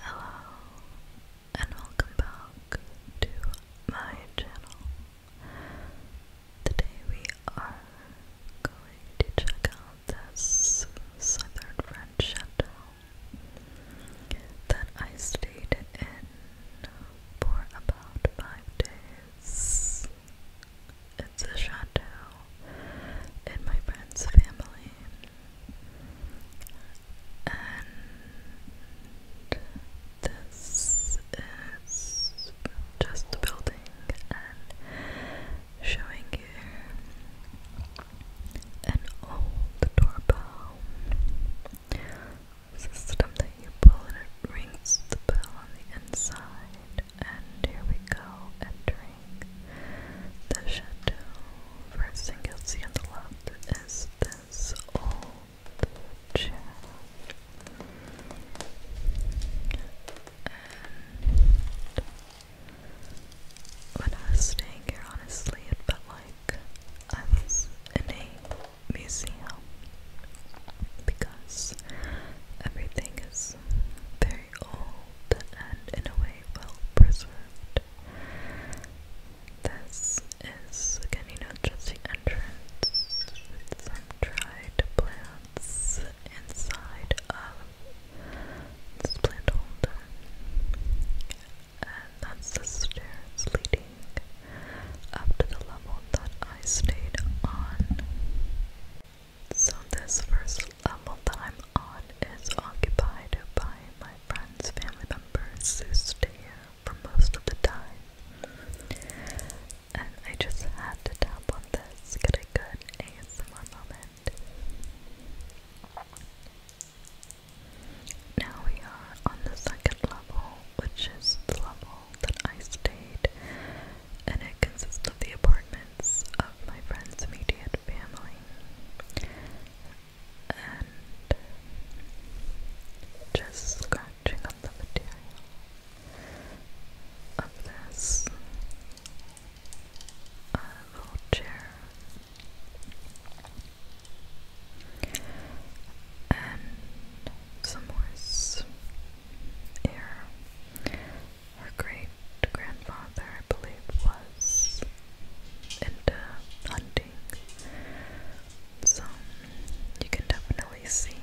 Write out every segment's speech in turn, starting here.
Hello and welcome back to my channel. Today we are going to check out this southern French chateau that I stayed in for about five days. It's a chateau in my friend's family and this is just building and showing you an old doorbell system that you pull and it rings the bell on the inside and here we go entering the chateau, first thing you'll see on the left is this old chair. And when I was staying here, honestly, it felt like I was in a museum because everything is very old and in a way well preserved. This is again, you know, entrance with some dried plants inside of this plant holder. And that's the stairs leading up to the level that I stayed on. So this first level that on is occupied by my friends, family members who stay here for most of the time. And I just had to tap on this, get a good ASMR moment. Now we are on the second level, which is the level that I stayed, and it consists of the apartments of my friend's immediate family and just scratching on the material of this uh, And some horse here. Her great grandfather, I believe, was into uh, hunting. So you can definitely see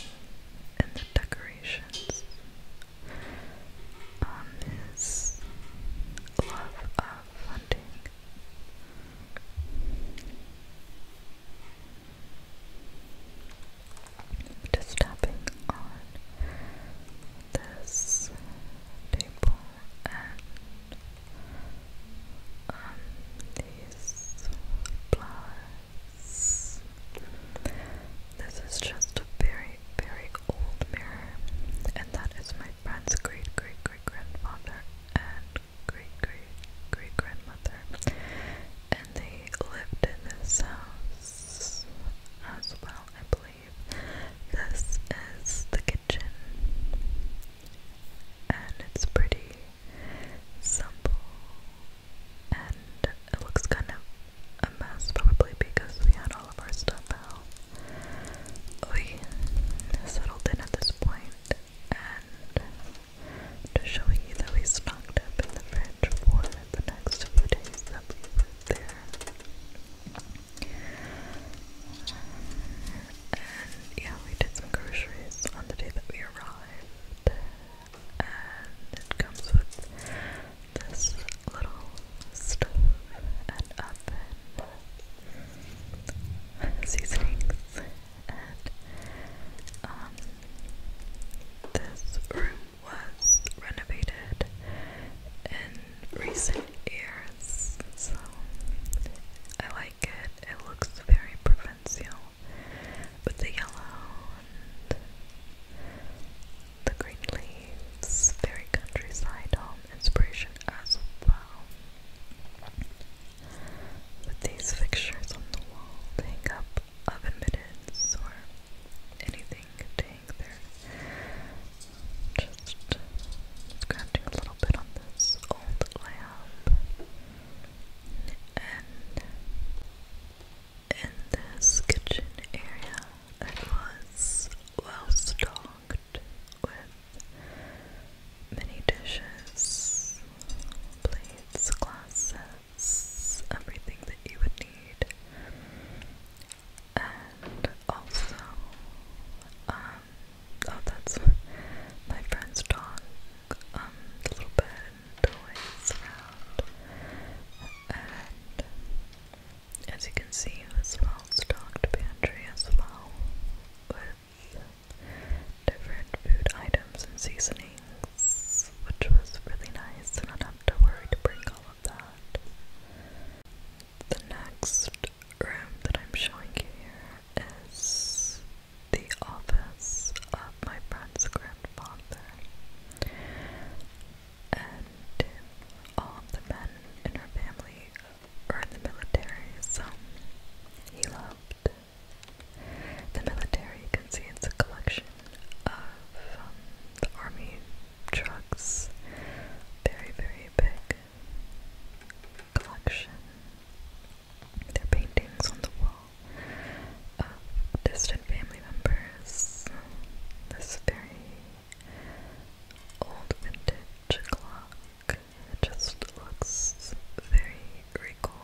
in the decorations his love of hunting. Just tapping on this table and on these This is just a very, very old mirror, and that is my friend's great great great grandfather and great great great grandmother. And they lived in this house as well, I believe. This is the and it's pretty simple. And it looks kind of a mess, probably because we had all of our stuff out. We settled in at this point, and just showing you that we stocked up in the fridge for the next few days that we were there yeah, we did some groceries on the day that we arrived. And it comes with this little stove and oven seasonings and um this room was renovated in recent ears, so I like it. It looks very provincial with the yellow and the green leaves, very countryside home inspiration as well. With these fixtures on the wall, to hang up oven mittens or anything staying there. Just scratching a little bit on this old lamp. And in this kitchen area, it was well stocked with many dishes, plates, glasses, everything that you would need and also, um, oh, that's my friend's dog, um, little bit toys and as you can see, it was well stocked pantry as well with different food items and seasonings, which was really nice, and not have to worry to bring all of that. The next room that I'm showing you here is the office of my friend's grandfather. And all of the men in her family are in the military, so he loved the military. You can see it's a collection of um, the army trucks, very, very big collection, their paintings on the wall of distant family members. This very old vintage clock. just looks very regal.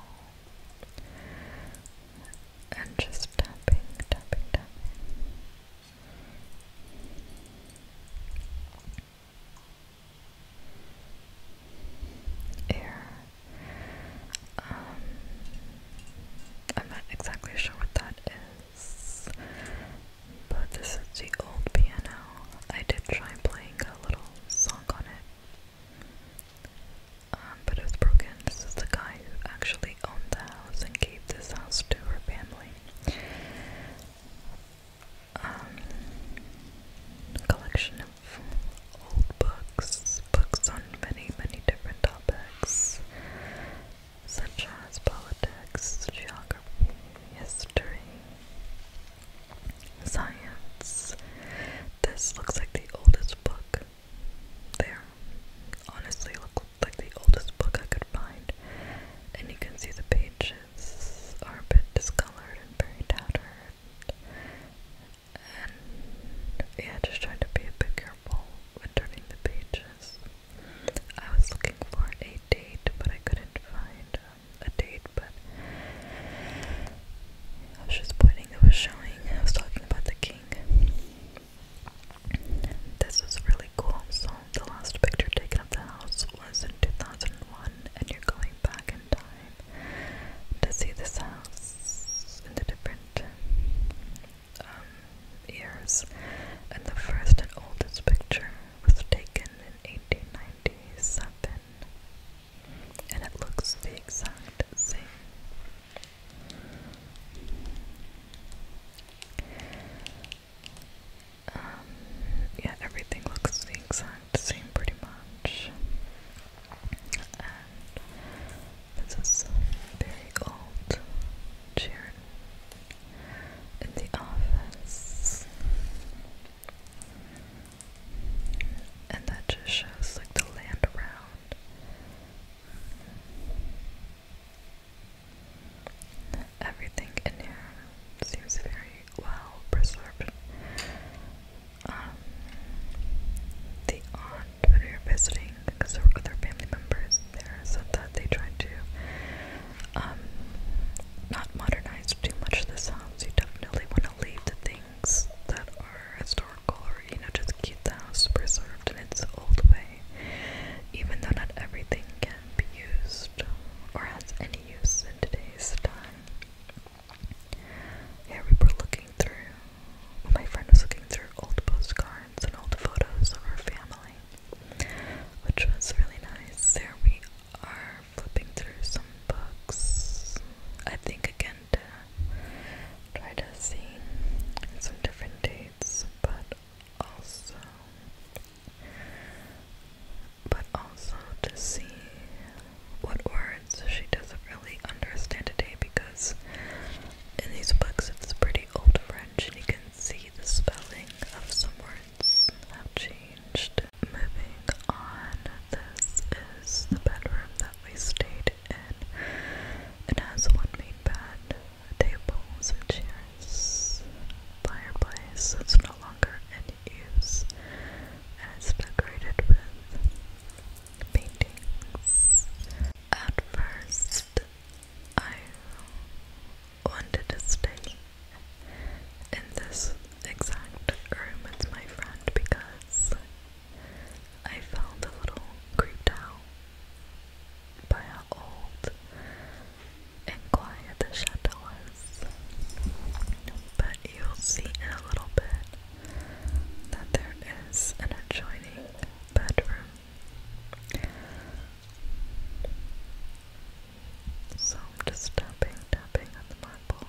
And just tapping, tapping, tapping air. Um, I'm not exactly sure what that is, but this is the old piano. I did try playing a little song on it, um, but it broken. This is the guy who actually owned the house and gave this house to her family um, collection of old books, books on many, many different topics, such as politics, geography, history, science. This looks like the oldest book there. Honestly, look like the oldest book I could find, and you can see the pages are a bit discolored very tattered. And yeah, just trying to be a bit careful when turning the pages. I was looking for a date, but I couldn't find um, a date, but I was just pointing, it was showing, I was talking about the king. This was really cool, so the last picture taken of the house was in 2001, and you're going back in time to see this house in the different um, years. And the first and oldest picture was taken in 1897, and it looks the exact same. Um, yeah, everything looks the exact same pretty much. this is very old chair in the office. And that just shows like the land around. Everything in here seems very well preserved. Um, the aunt, when we were visiting, because there were other family members there, said that they tried to um, not modernize too much of this house. You definitely want to leave the things that are historical or, you know, just keep the house preserved in its old way even though not everything can be used or has any use in today's time. Yeah, we were looking through, my friend was looking through old postcards and old photos of our family, which was really nice. There we are flipping through some books, I think again to try to see some different dates, but also but also to see what words she doesn't really understand today because in these books it's pretty old French and you can see the spelling of some words have changed. Moving on, this is the bedroom that we stayed in. It has one main bed, tables and chairs, fireplace that's no longer in use, and it's decorated with paintings. At first, I wanted to stay in this exact room with my friend because I felt a little creeped out by old and quiet the chateau was. But you'll see in a little bit that there is an adjoining bedroom. So just tapping, tapping on the marble.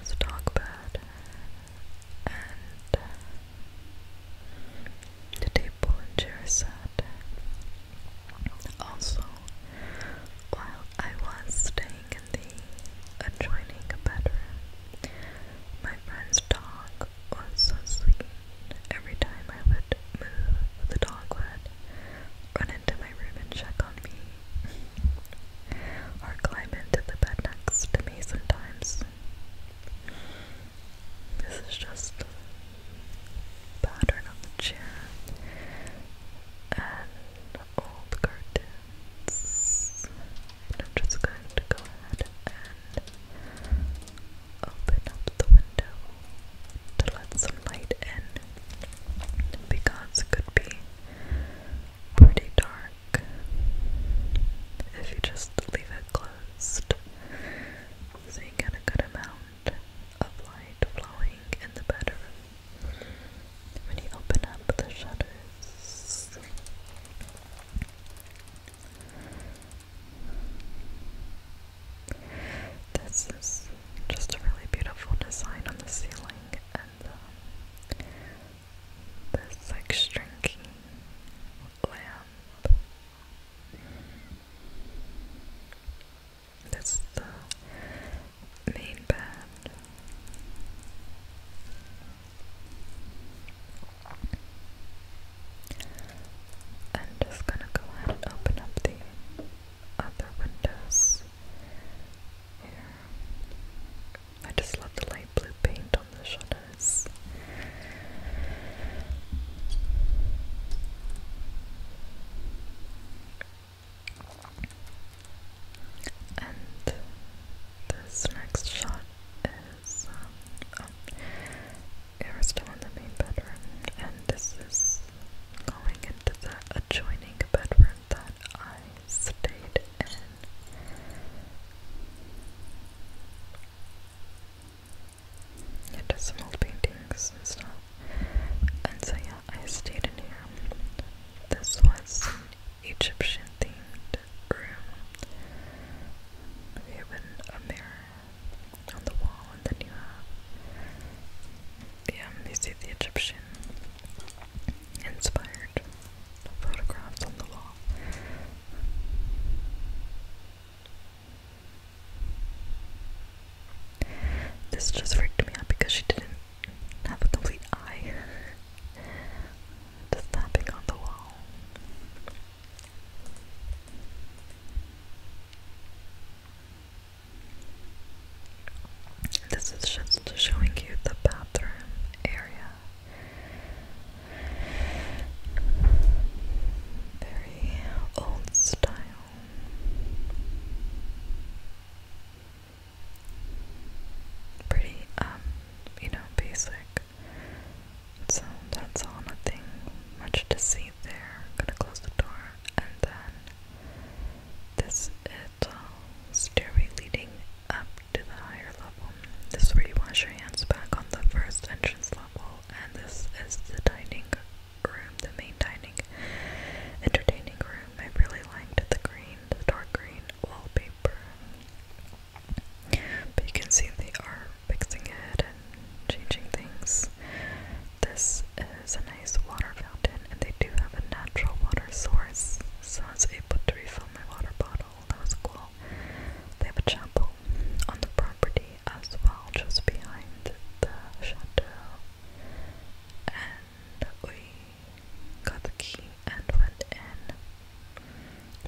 This bed and the table in Jerusalem. Also, while I was staying in the adjoining bedroom, my friend's dog was so sweet. Every time I would move, the dog would run into my room and check on me, or climb into the bed next to me sometimes. This is just the pattern of the chair and old curtains. And I'm just going to go ahead and open up the window to let some light in because it could be pretty dark if you just leave it closed so you get a good amount sound of light flowing in the bedroom. When you open up the shutters, this is just a really beautiful design on the ceiling, and um, this like shrinking lamp. That's the main band. I'm just gonna go ahead and open up the other windows here. I just love the light blue paint on the shutters. And this next shot is we're um, still in the main bedroom, and this is going into the adjoining bedroom that I stayed in. Yeah, just some old paintings and stuff. And so yeah, I stayed in here. This was Egyptian themed room. You have a mirror on the wall, and then you have yeah, you see the Egyptian inspired photographs on the wall. This just freaked me out because she didn't have a complete eye. Just tapping on the wall. This is just showing you the bathroom area. Very old style. Pretty, um, you know, basic. So that's all, nothing much to see there. gonna close the door and then this is a uh, stairway leading up to the higher level. This is where you wash your hands back on the first entrance level and this is the dining room, the main dining, entertaining room. I really liked the green, the dark green wallpaper. But you can see they are fixing it and changing things. This is a nice water fountain, and they do have a natural water source, so I was able to refill my water bottle. That was cool. They have a chapel on the property, as well, just behind the chateau. And we got the key and went in.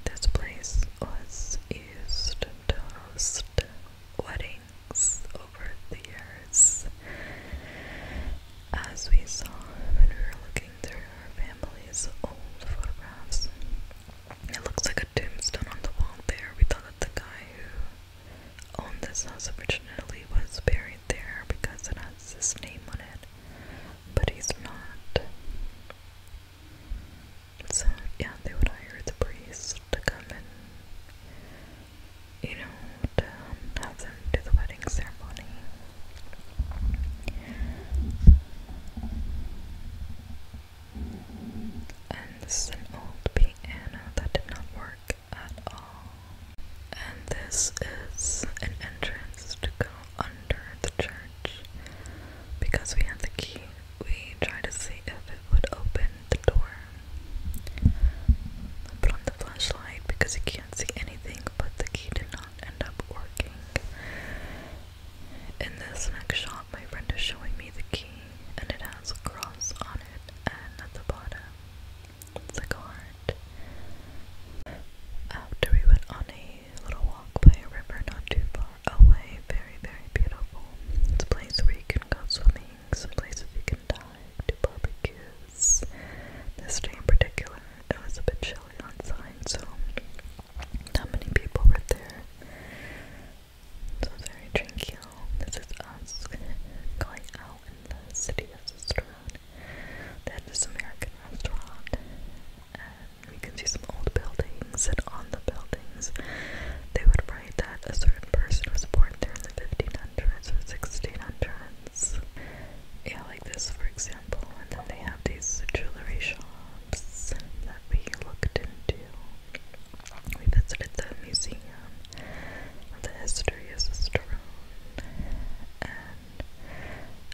This place was used to host weddings over the years. As we saw when we were looking through our family's old photographs, it looks like a tombstone on the wall there. We thought that the guy who owned this house originally was buried there because it has his name on it, but he's not. So, yeah, they would hire the priest to come and, you know, to um, have them do the wedding ceremony. And this is an old piano that did not work at all. And this is an entrance to go under the church. Because we had the key, we tried to see if it would open the door. put on the flashlight because you can't see anything, but the key did not end up working. In this next shot, my friend is showing me the key, and it has a cross on it, and at the bottom, it's a heart. After we went on a little walk by a river not too far away, very, very beautiful. It's a place where you can go swimming, it's a you can dive, do barbecues. This day in particular, it was a bit chilly outside, so not many people were there. So sorry, Trinkiel. This is us going out in the city of Sisteron. They had this American restaurant, and we can see some old buildings. And on the buildings, they would write that a certain person was born there in the 1500s or 1600s. Yeah, like this, for example. And then they have these jewelry shops that we looked into. We visited the Museum of the History of Cicerone, and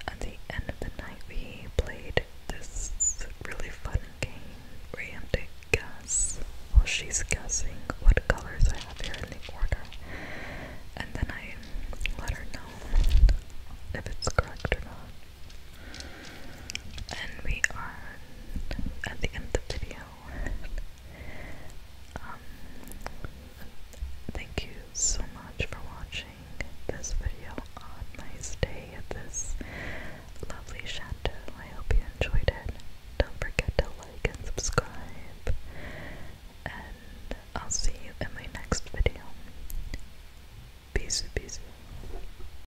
at the end of the night, we played this really fun game where you have to while she's guessing what colors I have here in the order, and then I let her know if it's correct or not and we are at the end of the video. Um, thank you so much for watching this video on my stay at this lovely chateau. I hope you enjoyed it. Don't forget to like and subscribe, and I'll see you in my next video. Peace, peace.